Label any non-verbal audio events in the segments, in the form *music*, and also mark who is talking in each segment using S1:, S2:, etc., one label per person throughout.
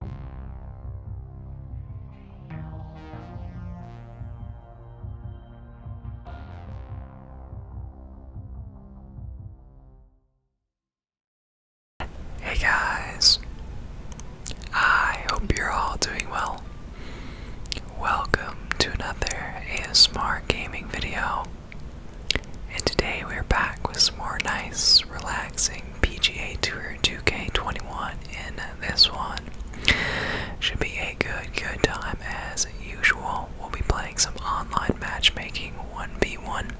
S1: Hey guys, I hope you're all doing well. Welcome to another ASMR gaming video, and today we're back with some more nice, relaxing PGA Tour 2K21 in this one. Should be a good, good time as usual. We'll be playing some online matchmaking 1v1.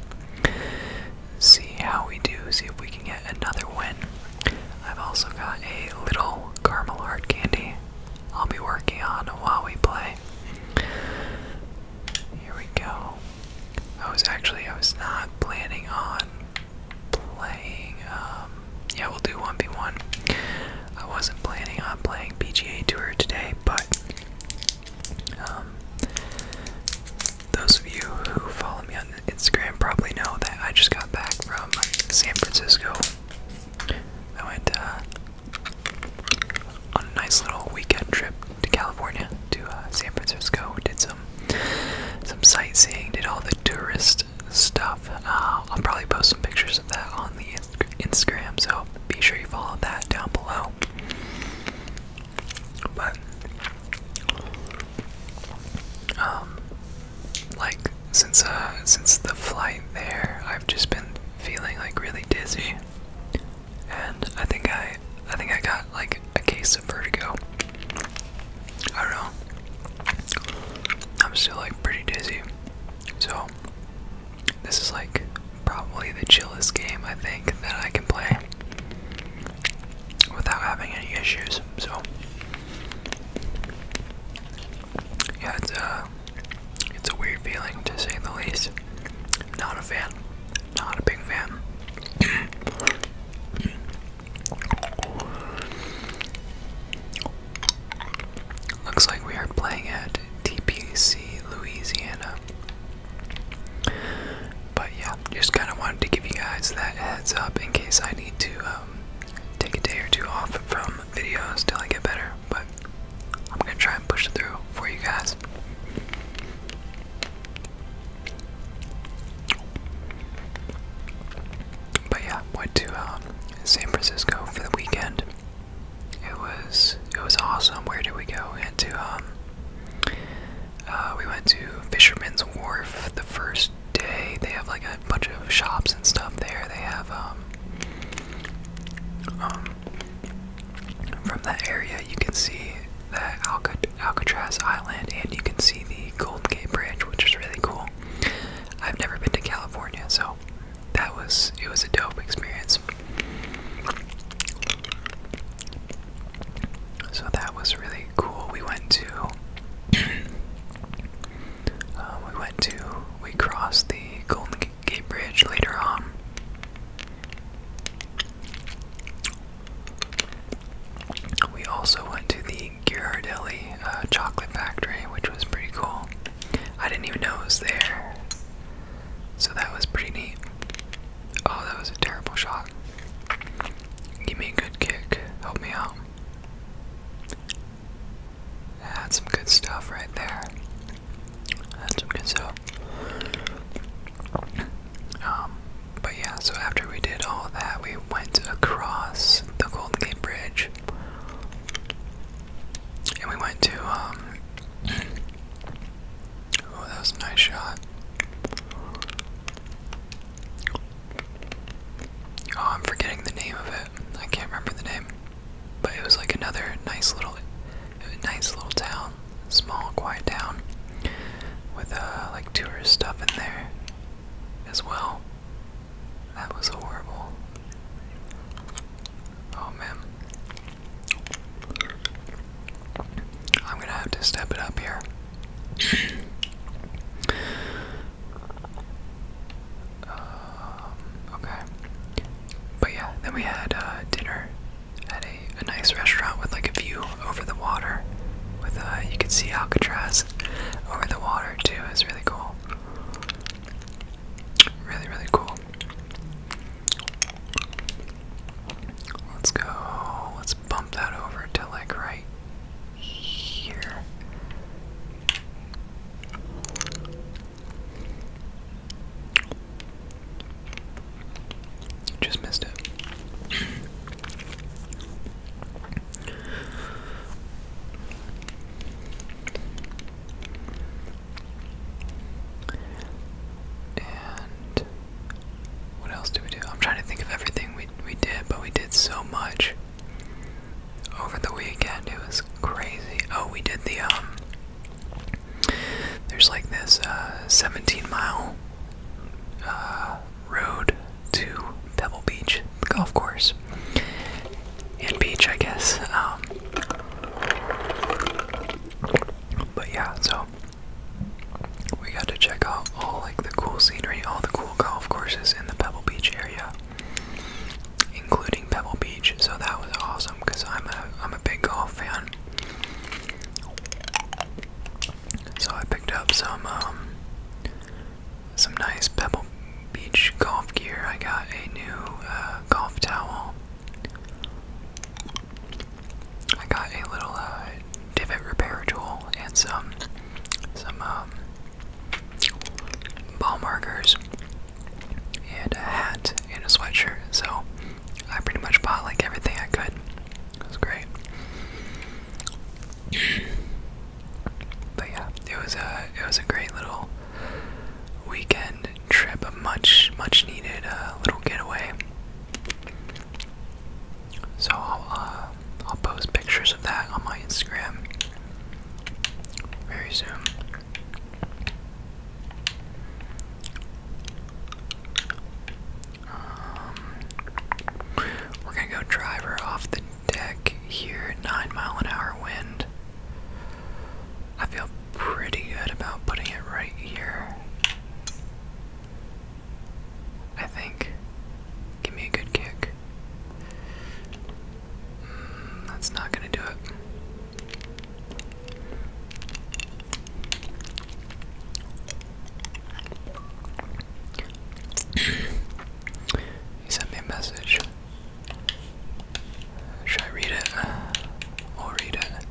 S1: See how we do, see if we can get another win. I've also got a little caramel heart candy I'll be working on while we play. Here we go. I was actually, I was not planning on playing. Um, yeah, we'll do 1v1. I wasn't planning on playing PGA Tour today, but um, those of you who follow me on Instagram probably know that I just got back from San Francisco. I went uh, on a nice little weekend trip to California, to uh, San Francisco. Did some some sightseeing, did all the tourist stuff. Uh, I'll probably post some pictures of that on the Instagram, so be sure you follow that down below. But um, like since uh since the flight there, I've just been feeling like really dizzy, and I think I I think I got like a case of vertigo. I don't know. I'm still like pretty dizzy. So this is like probably the chillest game I think that I can play without having any issues. So yeah, it's a uh, it's a weird feeling to say the least. Not a fan. Not a big fan. *clears throat* Looks like we are playing at TPC Louisiana. But yeah, just kind of wanted to give you guys that heads up in case I need to um, take a day or two off from videos till I get better. But I'm gonna try and push it through for you guys. But yeah, went to um, San Francisco for the weekend. It was it was awesome. Where did we go? We went to um, uh, we went to Fisherman's Wharf the first day. They have like a bunch of shops and stuff there. They have um, from that area you can see the Alcat Alcatraz Island, and you can see the Golden Gate Bridge, which is really cool. I've never been to California, so that was it was a dope experience. So that was really cool. We went to *clears throat* uh, we went to we crossed the Golden Gate Bridge later on. We also went to the Ghirardelli uh, chocolate factory, which was pretty cool. I didn't even know it was there. So that was pretty neat. Oh, that was a terrible shot. Give me a good kick. Help me out. That's some good stuff right there. That's some good stuff. Um, but yeah, so after we did all that, we went across the Golden Gate Bridge, and we went to um, *clears throat* oh, that was a nice shot. Oh, I'm forgetting the name of it. I can't remember the name, but it was like another nice little, nice little town, small, quiet town, with uh, like tourist stuff in there as well. That was horrible. Oh man. I'm gonna have to step it up here. Um, okay. But yeah, then we had uh, dinner at a nice restaurant with like a view over the water. With a uh, you can see Alcatraz over the water too. It's really cool. Really, really cool. Let's go. Let's bump that over to like right here. Just missed it. And what else did we do? I'm trying to think of everything we we did, but we did so much over the weekend. It was crazy. Oh, we did the um. There's like this uh, 17 mile uh, road to Pebble Beach, golf course, and beach, I guess. Um, but yeah, so we got to check out all like the cool scenery, all the cool golf courses in the Pebble Beach area, including Pebble Beach. So that was awesome because I'm a I'm a big golf fan. So I picked up some um, some nice Pebble Beach golf gear. I got a new uh, golf towel. I got a little uh, divot repair tool and some some um, ball markers and a hat and a sweatshirt. So I pretty much bought like everything I could. It was great but yeah, it was a it was a great little weekend trip, a much much needed uh, little getaway. So I'll uh, I'll post pictures of that on my Instagram very soon. Um, we're gonna go driver off the deck here. Nine mile an hour wind. I feel pretty good about putting it right here. I think. Give me a good kick. Mm, that's not gonna do it he sent me a message. Should I read it? I'll read it.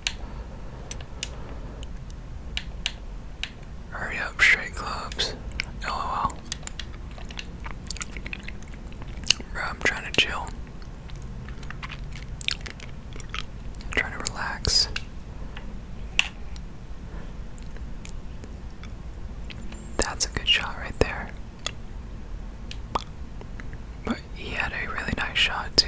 S1: Hurry up, straight clubs. LOL. Bro, I'm trying to chill. trying to relax. That's a good shot right there. But he had a really nice shot, too.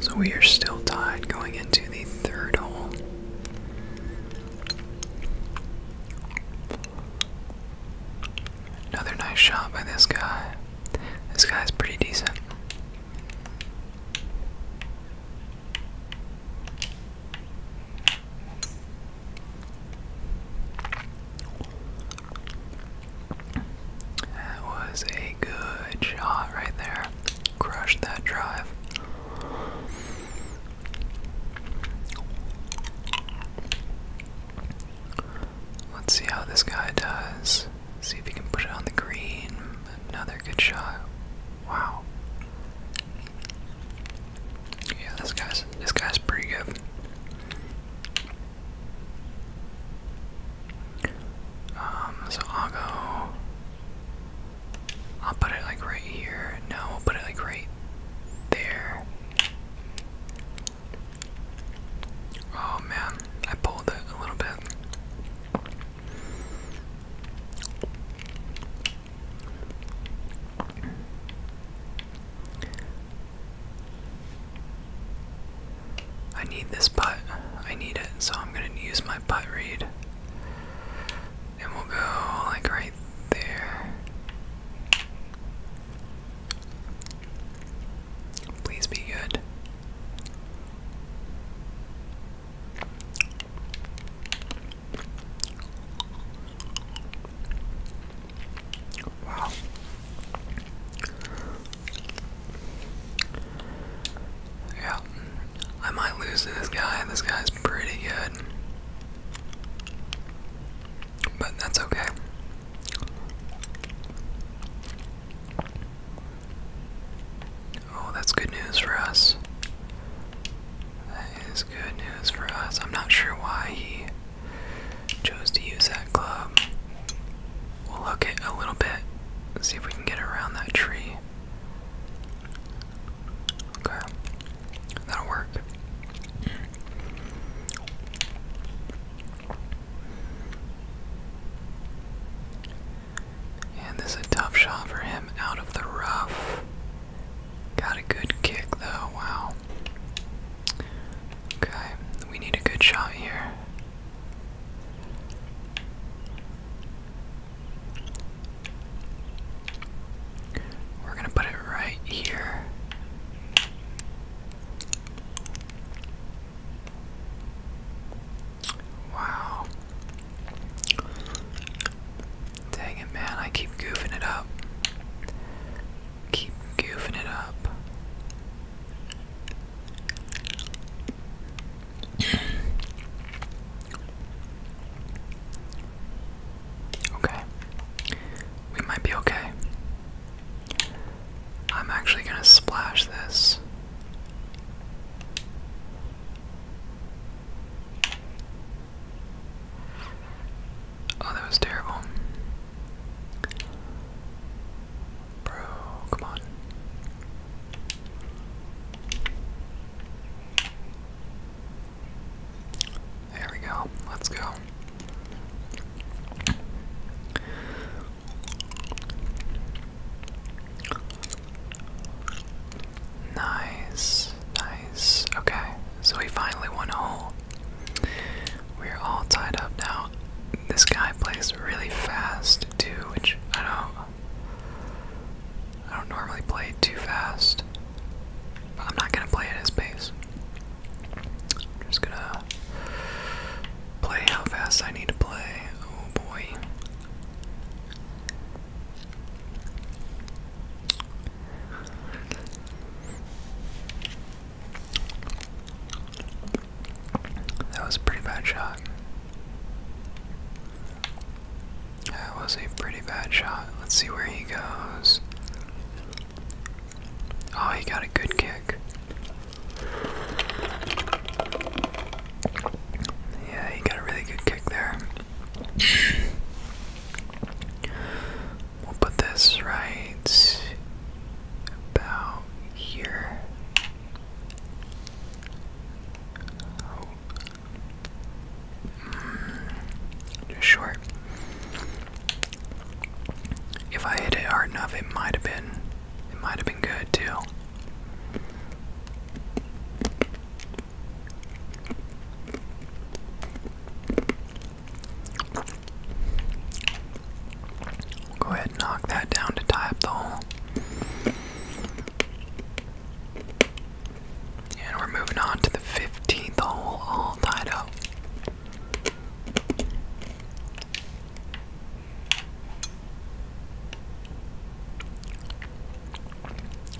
S1: So we are still tied going into the third hole. Another nice shot by this guy. This guy's pretty decent. That was a good shot right there. Crushed that drive. Let's see how this guy does. See if he can put it on the green. Another good shot. Wow. Yeah, this guy's this guy's pretty good. Um, so I'll go. I'll put it like right here. No, we'll put it like right there. Oh man, I pulled it a little bit. I need this putt. I need it, so I'm gonna use my putt read. And we'll go like right there. Please be good. Wow. Yeah, I might lose to this guy. This guy's pretty good. But that's okay. Oh, that's good news for us. That is good news for us. I'm not sure why he chose to use that club. We'll hook it a little bit, see if we can get around that tree. Okay, that'll work. And this is a tough shot for him out of the rough. Got a good kick though, wow. Okay, we need a good shot here. We're going to put it right here. Wow. Dang it, man. I keep goofing it up. Keep goofing it up. Okay. We might be okay. I'm actually going to splash this. Oh, that was terrible. Bro, come on. There we go. Let's go. Nice, nice. Okay, so we finally won a hole. We're all tied up now. This guy plays really fast too, which I don't I don't normally play too fast. But I'm not gonna play at his pace. I'm just gonna play how fast I need to play. Oh boy. That was a pretty bad shot. That was a pretty bad shot. Let's see where he goes. Oh, he got a good kick. Yeah, he got a really good kick there. We'll put this right about here. Oh. just short. If I hit it hard enough, it might have been, it might have been good too. Go ahead and knock that down to tie up the hole. And we're moving on to the 15th hole, all tied up.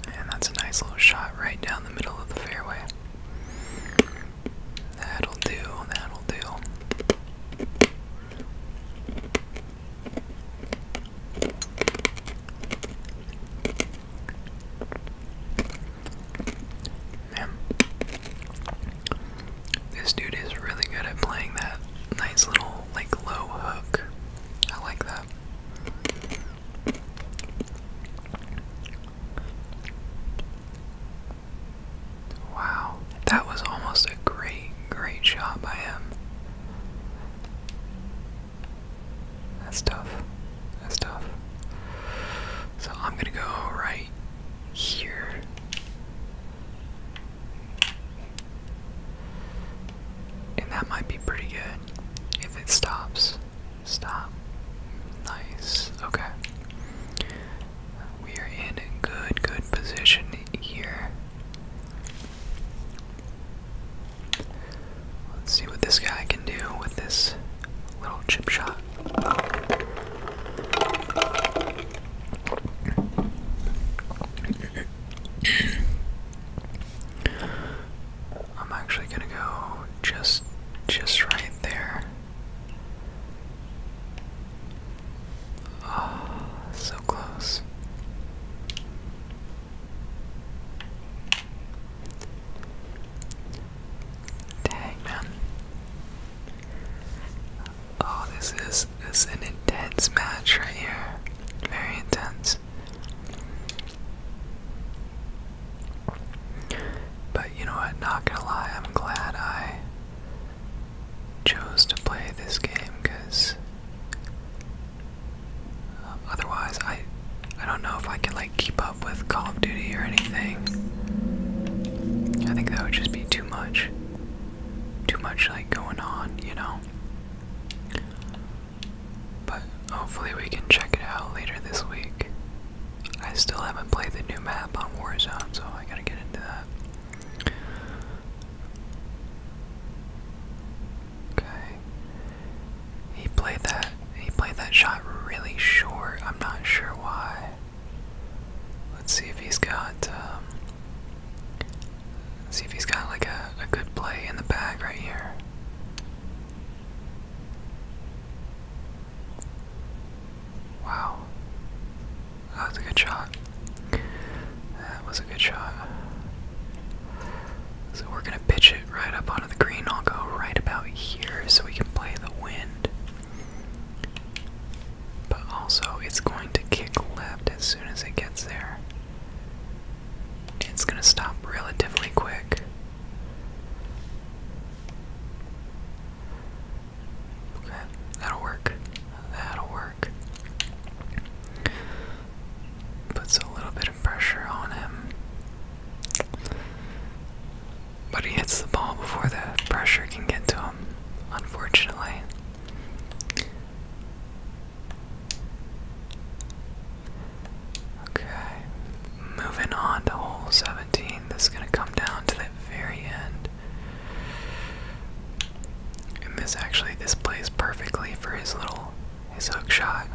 S1: And that's a nice little shot right down the middle of the fairway. That'll do, that'll do. This dude is really good at playing that nice little, like, low hook. I like that. Wow, that was almost a great, great shot by him. That's tough. That's tough. So I'm going to go right here. And that might be pretty good if it stops. Stop. Nice. Okay. We are in a good, good position here. Let's see what this guy can do with this little chip shot. I'm actually gonna go just just right there. Ah, oh, so close. Dang man. Oh, this is this an intense match right here. Very intense. But you know what, not gonna lie, I'm glad I chose to play this game because um, otherwise I I don't know if I can like keep up with Call of Duty or anything. I think that would just be too much. Too much like going on, you know. But hopefully we can check it out later this week. I still haven't played the new map on Warzone, so I gotta get into that. Okay. He played that he played that shot really short. I'm not sure why. Let's see if he's got um, see if he's got like a, a good play in the bag right here. Wow. That was a good shot. That was a good shot. So we're gonna pitch it right up onto the green. I'll go right about here so we can play the wind. But also, it's going to kick left as soon as it gets there. It's gonna stop relatively quick. Okay, that'll work. That'll work. Puts a little bit of pressure on him. But he hits the ball before the pressure can get to him, unfortunately. Okay, moving on to hole 17. This is going to come down to the very end. And this actually this plays perfectly for his little his hook shot.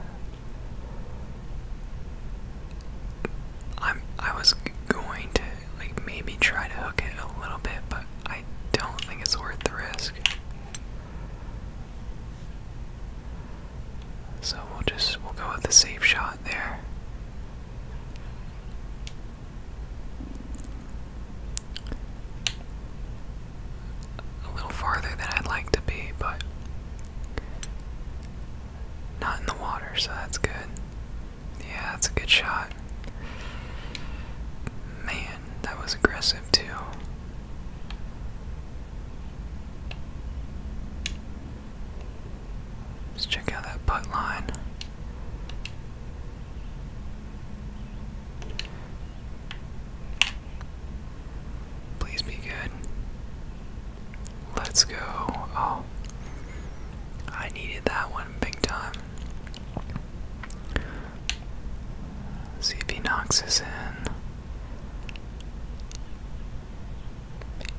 S1: I'm I was going to like maybe try to hook it a little bit, but I don't think it's worth the risk. So we'll just we'll go with the safe shot there a little farther than I'd like to be, but not in the water, so that's good. Yeah, that's a good shot. Man, that was aggressive too. Let's check out that putt line. Please be good. Let's go. Oh. I needed that one big time. See if he knocks us in.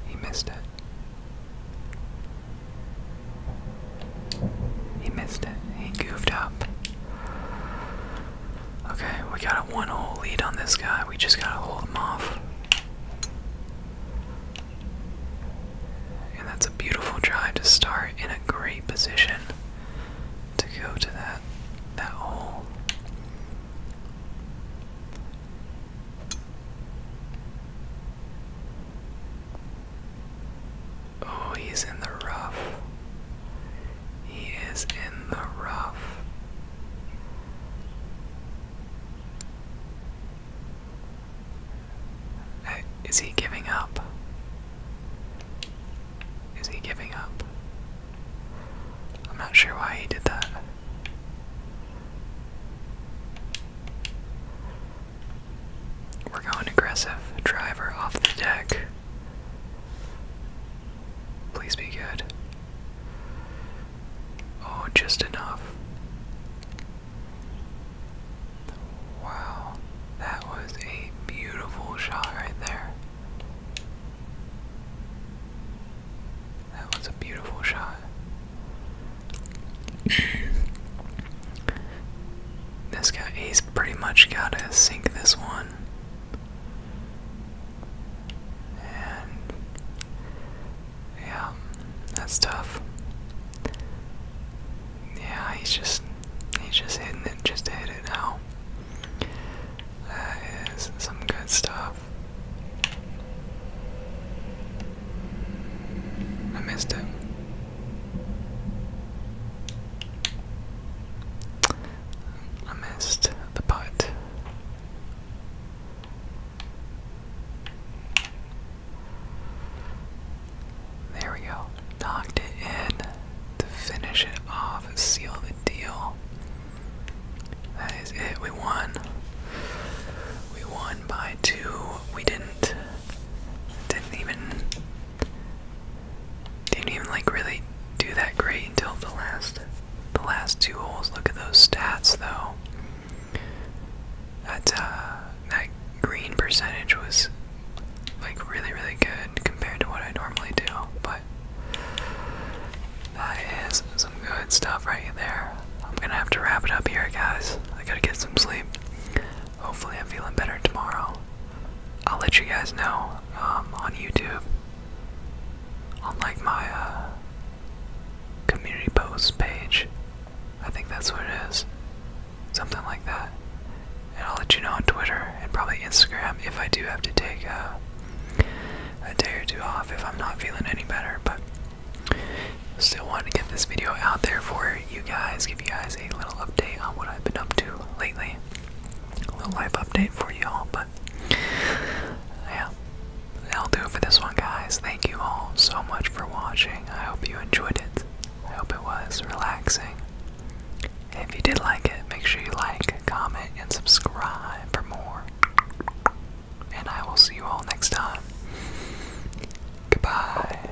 S1: He missed it. He missed it. He goofed up. Okay, we got a one hole lead on this guy. We just gotta hold him off. And that's a beautiful drive to start in a great position to go to that that hole. Oh, he's in the rough. He is in the rough. is he giving up? Is he giving up? I'm not sure why he did that. We're going aggressive. Driver off the deck. Please be good. Oh, just enough. Wow, that was a beautiful shot right there. That was a beautiful shot. This guy, he's pretty much got to sink this one. And yeah, that's tough. Yeah, he's just he's just hitting it, just hit it now. That is some good stuff. I missed it. I missed the putt. There we go. Knocked it in to finish it off seal the deal. That is it. We won. We won by two. We didn't. Didn't even didn't even like really do that great until the last the last two holes. Look at those stats though. That uh, that green percentage was like really really good compared to what I normally do, but that is some good stuff right there. I'm gonna have to wrap it up here, guys. I gotta get some sleep hopefully I'm feeling better tomorrow. I'll let you guys know um, on YouTube, on like my uh, community post page. I think that's what it is, something like that. And I'll let you know on Twitter and probably Instagram if I do have to take uh, a day or two off if I'm not feeling any better. But still wanted to get this video out there for you guys, you guys a little update on what I've been up to lately. A little life update for y'all, but yeah, that'll do it for this one, guys. Thank you all so much for watching. I hope you enjoyed it. I hope it was relaxing. If you did like it, make sure you like, comment, and subscribe for more. And I will see you all next time. Goodbye.